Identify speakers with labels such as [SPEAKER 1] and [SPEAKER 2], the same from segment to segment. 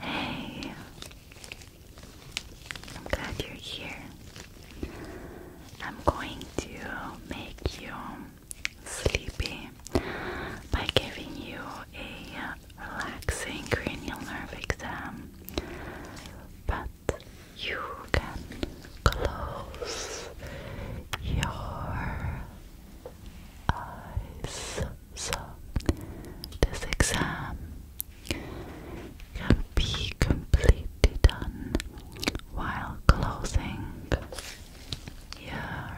[SPEAKER 1] Hey, I'm glad you're here. I'm going to make you sleepy by giving you a relaxing cranial nerve exam, but you can close your eyes. So, this exam can be completely done while closing your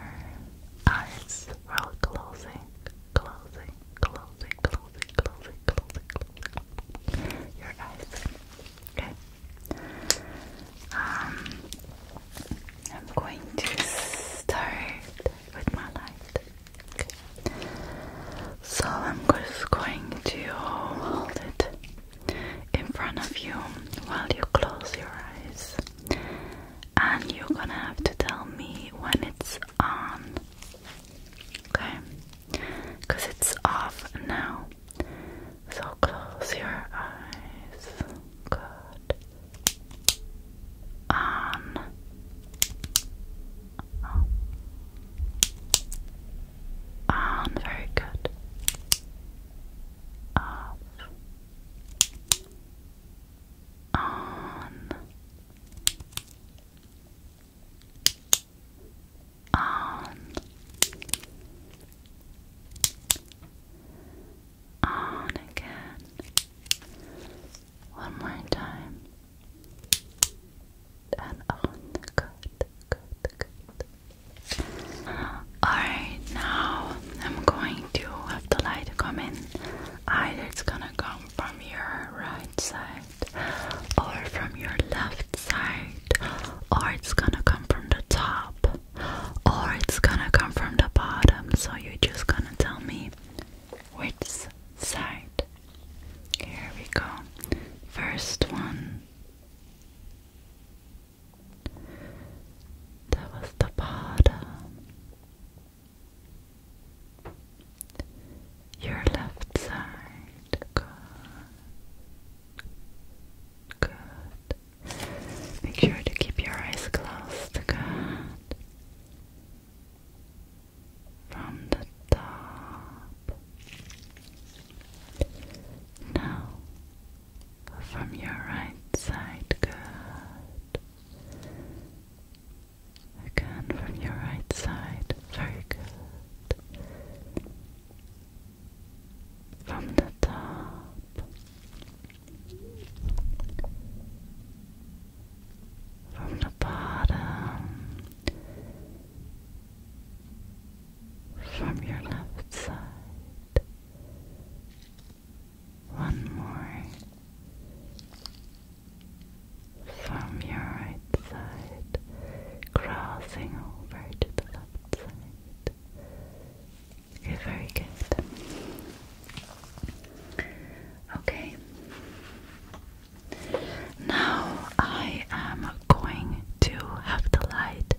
[SPEAKER 1] eyes. While closing, closing, closing, closing, closing, closing, closing your eyes. Okay. Um, I'm going to start with my light. So I'm just going to hold it in front of you while you close your eyes, and you're gonna have to tell me when it's on, okay? Because it's off now. So close your eyes. Good on oh. on very good off on on on again one more time. And on. Good, good, good. Alright, now I'm going to have the light come in. Either it's gonna come from your right side, or from your left side, or it's gonna come from the top, or it's gonna come from the bottom. So you're just gonna tell me which side? Here we go. First one. That was the bottom. Your left side. Good. Good. Make sure to keep your eyes closed. Good from the top. Now from your right side, good. Again from your right side, very good. From the top, from the bottom, from your left side, one more from your right side, crossing over to the left side. Okay, very good. Okay. Now I am going to have the light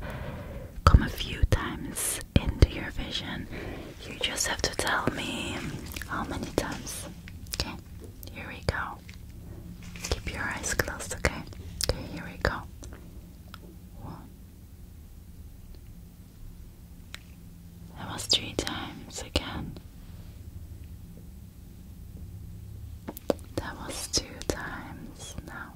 [SPEAKER 1] come a few times into your vision. You just have to tell me how many times. Okay, here we go. Keep your eyes closed, okay? Okay, here we go. One, that was three times again. That was two times now.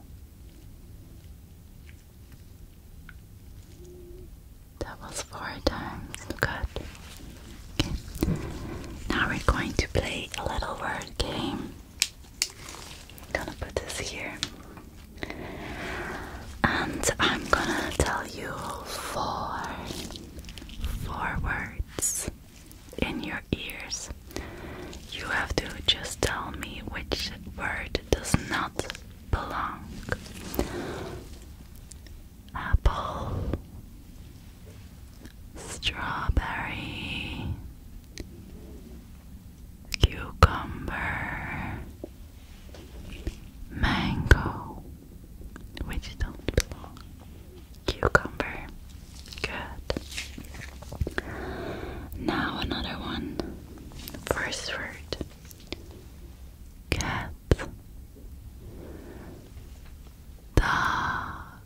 [SPEAKER 1] That was four times. Good. Okay. Now we're going to play a little word game. I'm gonna put this here and I'm gonna tell you four, four words in your ears. You have to just tell me which word does not belong. Apple, strawberry, cucumber, mango, which don't belong, cucumber, good. Now another one, first word, cat, dog,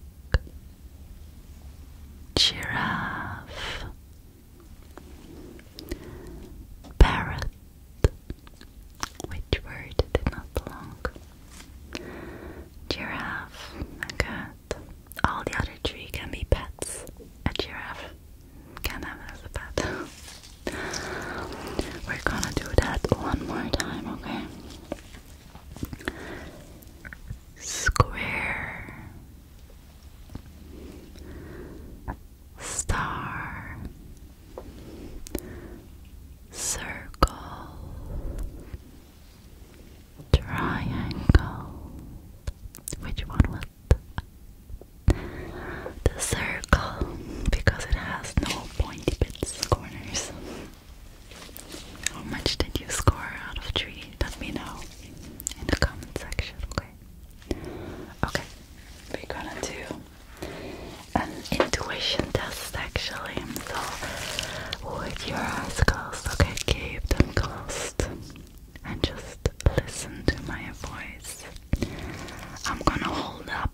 [SPEAKER 1] giraffe, parrot. Which word did not belong? Giraffe, a All the other three can be pets. A giraffe can have it as a pet. We're gonna do that one more time, okay? Square star, circle, triangle. Which one was the, circle? Because it has no pointy bits, corners. How much did you score out of three? Let me know in the comment section, okay? Okay, we're gonna do an intuition test actually. So with your eyes closed, okay, keep them closed and just listen to my voice. I'm gonna hold up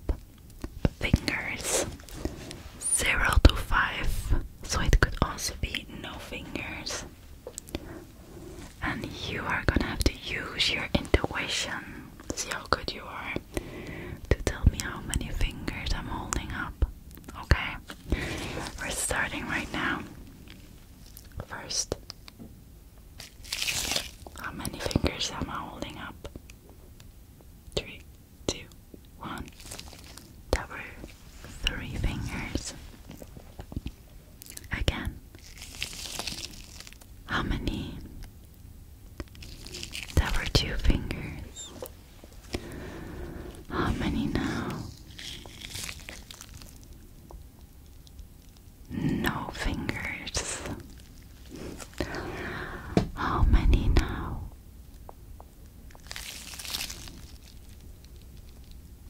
[SPEAKER 1] fingers zero to five, so it could also be no fingers and you are gonna have to use your intuition. See how good you are to tell me how many fingers I'm holding up. Okay, we're starting right now. First, how many fingers am I holding up? Three, two, one. That were three fingers. Again. How many? There were two fingers. How many now? No fingers. How many now?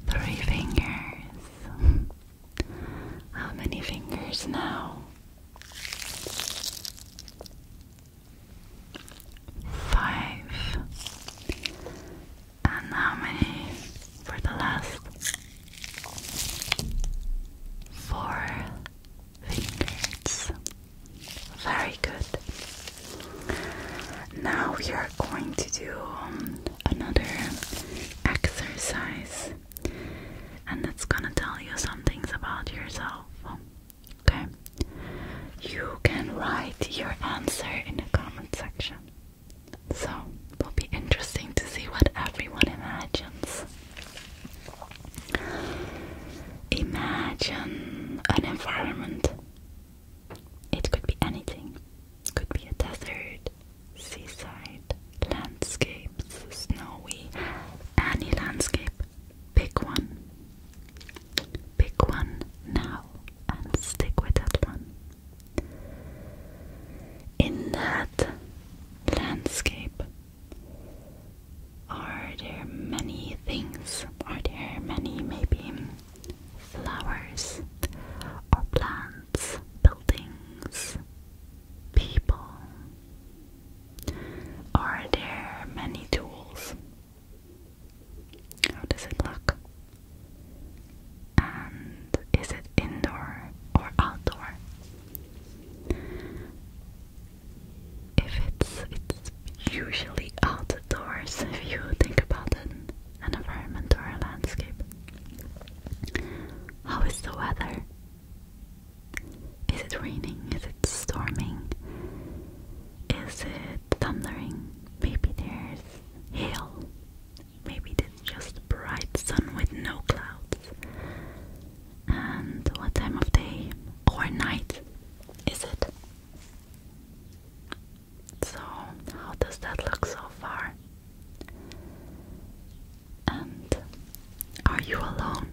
[SPEAKER 1] Three fingers. How many fingers now? Five. And how many for the last? Four fingers. Very good. Now we are going to do um, another exercise and it's gonna tell you some things about yourself. Okay, you can write your answer in the comment section, so it will be interesting to see what everyone imagines. Imagine an environment, it could be anything, could be a desert seaside landscapes, snowy, any landscape. Pick one. Pick one now and stick with that one. In that landscape, are there many things? Are there many, maybe, flowers or plants, buildings, people? Are there many tools? How does it look? And is it indoor or outdoor? If it's it's usually outdoors if you think about an environment or a landscape. How is the weather? Is it raining? Is it storming? Is it thundering? Maybe there's hail. Maybe it's just bright sun with no clouds. And what time of day or night is it? So, how does that look so far? And are you alone?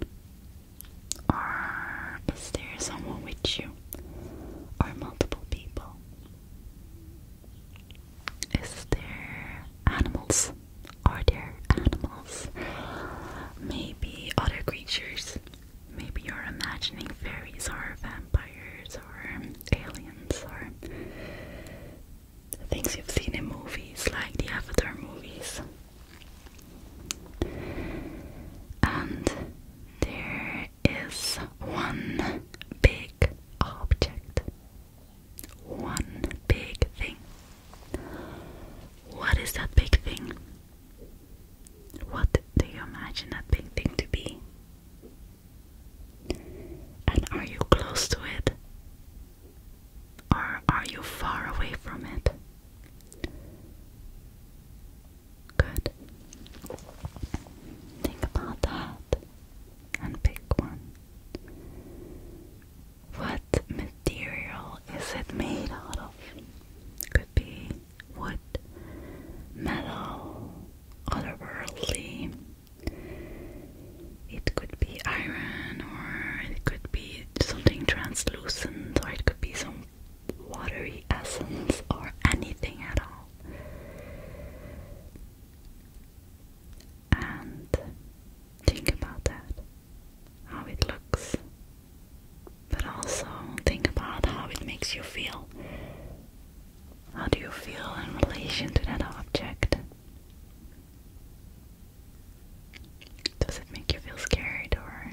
[SPEAKER 1] Or is there someone with you? Or multiple people? Is there animals? Are there animals? Maybe other creatures? Maybe you're imagining fairies or vampires or aliens or things you've seen in movies like the Avatar movies. And there is one big object, one big thing. What is that big thing? What do you imagine that big thing to be? And are you close to it? Or are you far away from it? Good. Think about that and pick one. What material is it made out of? Could be wood, metal, otherworldly, it could be iron, or it could be something translucent, or it could be some watery essence, or anything at all. And think about that how it looks, but also think about how it makes you feel. How do you feel in relation to that object? Does it make you feel scared or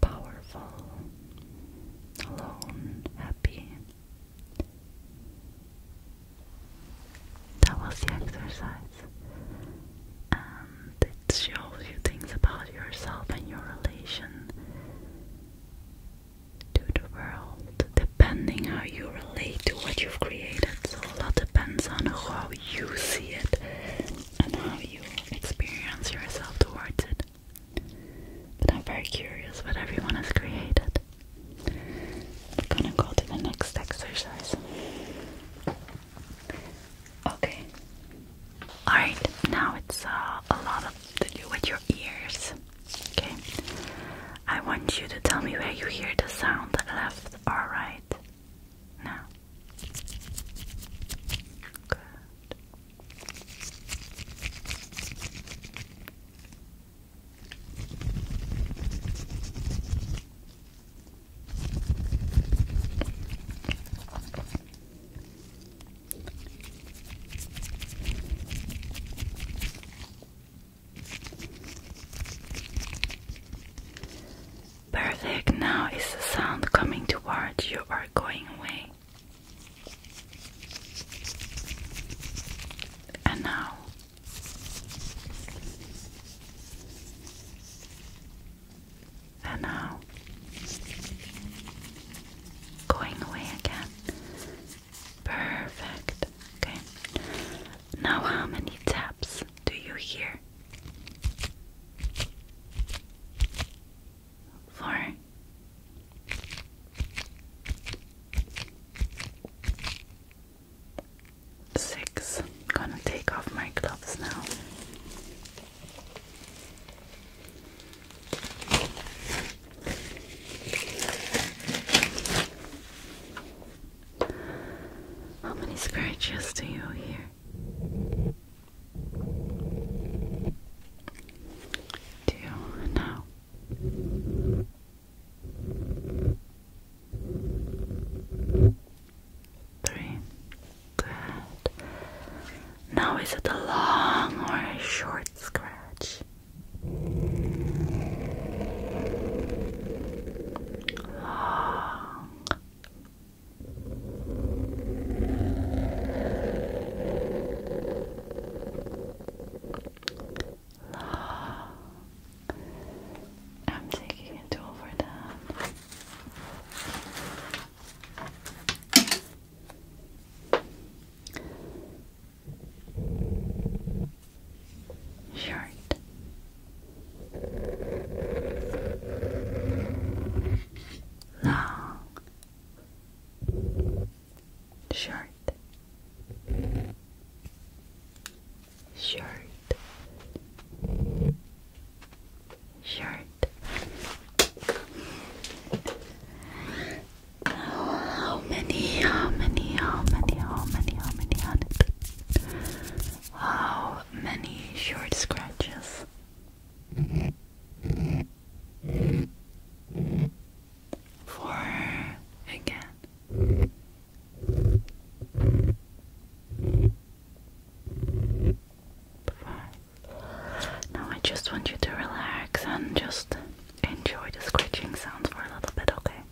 [SPEAKER 1] powerful, alone, happy? That was the exercise. And um, it shows you things about yourself and your relation to the world depending how you relate to what you've created. So a lot depends on how you see it and how you experience yourself towards it. But I'm very curious what everyone has created. We're gonna go to the next exercise. Okay. Alright, now it's uh, a lot to do with your ears. Okay. I want you to tell me where you hear the sound, left or right. Now. Good. Perfect. Now is the sound coming toward you Are going away. And now. And now. Going away again. Perfect. Okay. Now, how many taps do you hear? Four. going gonna take off my gloves now. How many scratches do you hear? Do you know? Three. Good. Now is it a long or a short scratch? I'm taking a tool for that short. Long, short, short, short how many, how many, how many, how many, how many, how how many short scratches? Four again. Five. Now I just want you to relax and just enjoy the scratching sounds for a little bit, okay?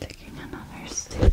[SPEAKER 1] Taking another stick.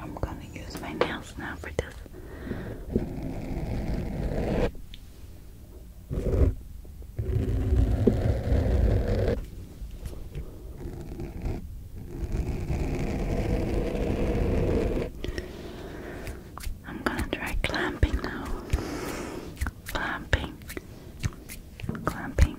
[SPEAKER 1] I'm going to use my nails now for this. I'm gonna try clamping now. Clamping. Clamping.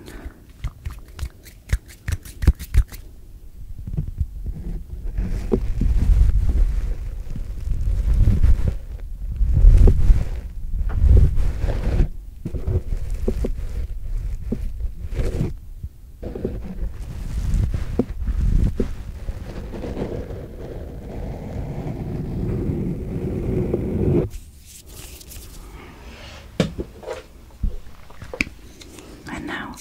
[SPEAKER 1] And now,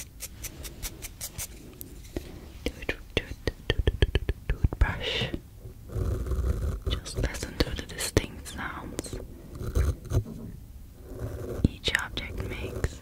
[SPEAKER 1] toot, toot, toot, toothbrush. Just listen to the distinct sounds each object makes.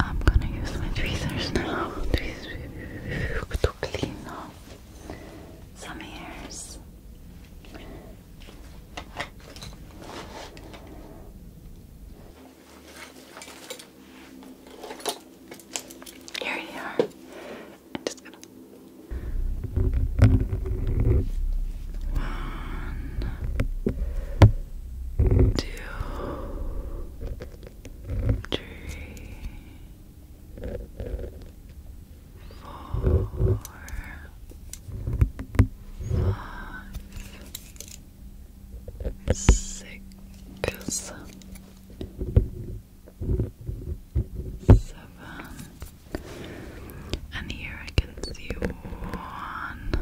[SPEAKER 1] I'm gonna use my tweezers now to clean off some hairs. Here you are. just two, three four, five, six, seven, and here I can see one,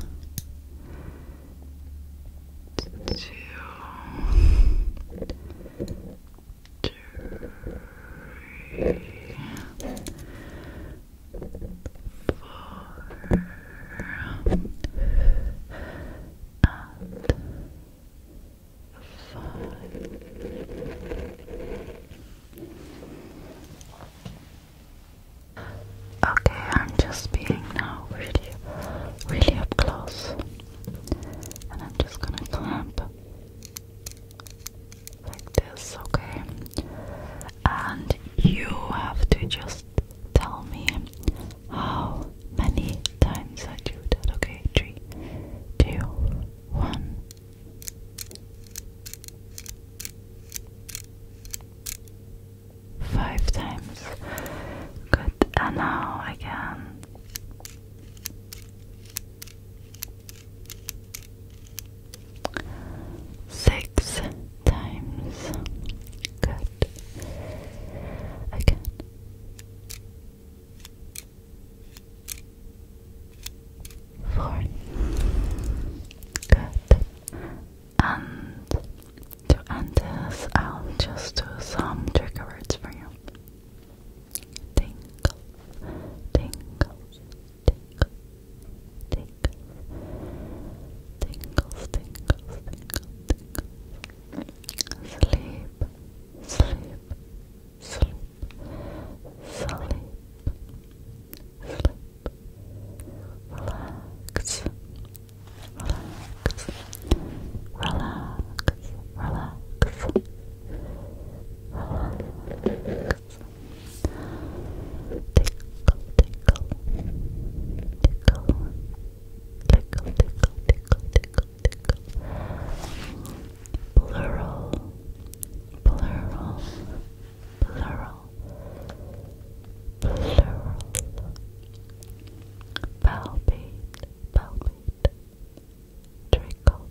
[SPEAKER 1] three, four, and five. Okay, I'm just being now really, really up close, and I'm just gonna clamp like this, okay? And you have to just tell me how many times I do that, okay? Three, two, one. Five times. Good, and now again. Six times. Good. Again. Four. Good. And to end this, I'll just do some trigger words for you. Tingle, tingles, Tinkle, tinkle, tinkles, tinkles, tinkle, Sleep, sleep, sleep, sleep, sleep. relax, relax, relax, relax. Tickle, tickle, tickle, tickle, tickle, tickle, tickle, tickle. Plural, plural, plural, plural. Palpate, palpate. Trickle,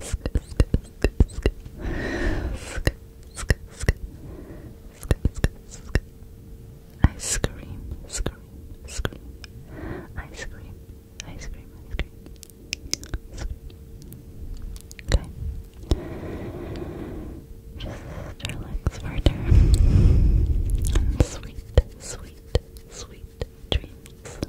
[SPEAKER 1] skip, skip, skip, skip, skip. Skip, skip, skip. Skip, skip, skip. I scream, I scream, I scream, I scream. Okay. Just relax further. sweet, sweet, sweet dreams.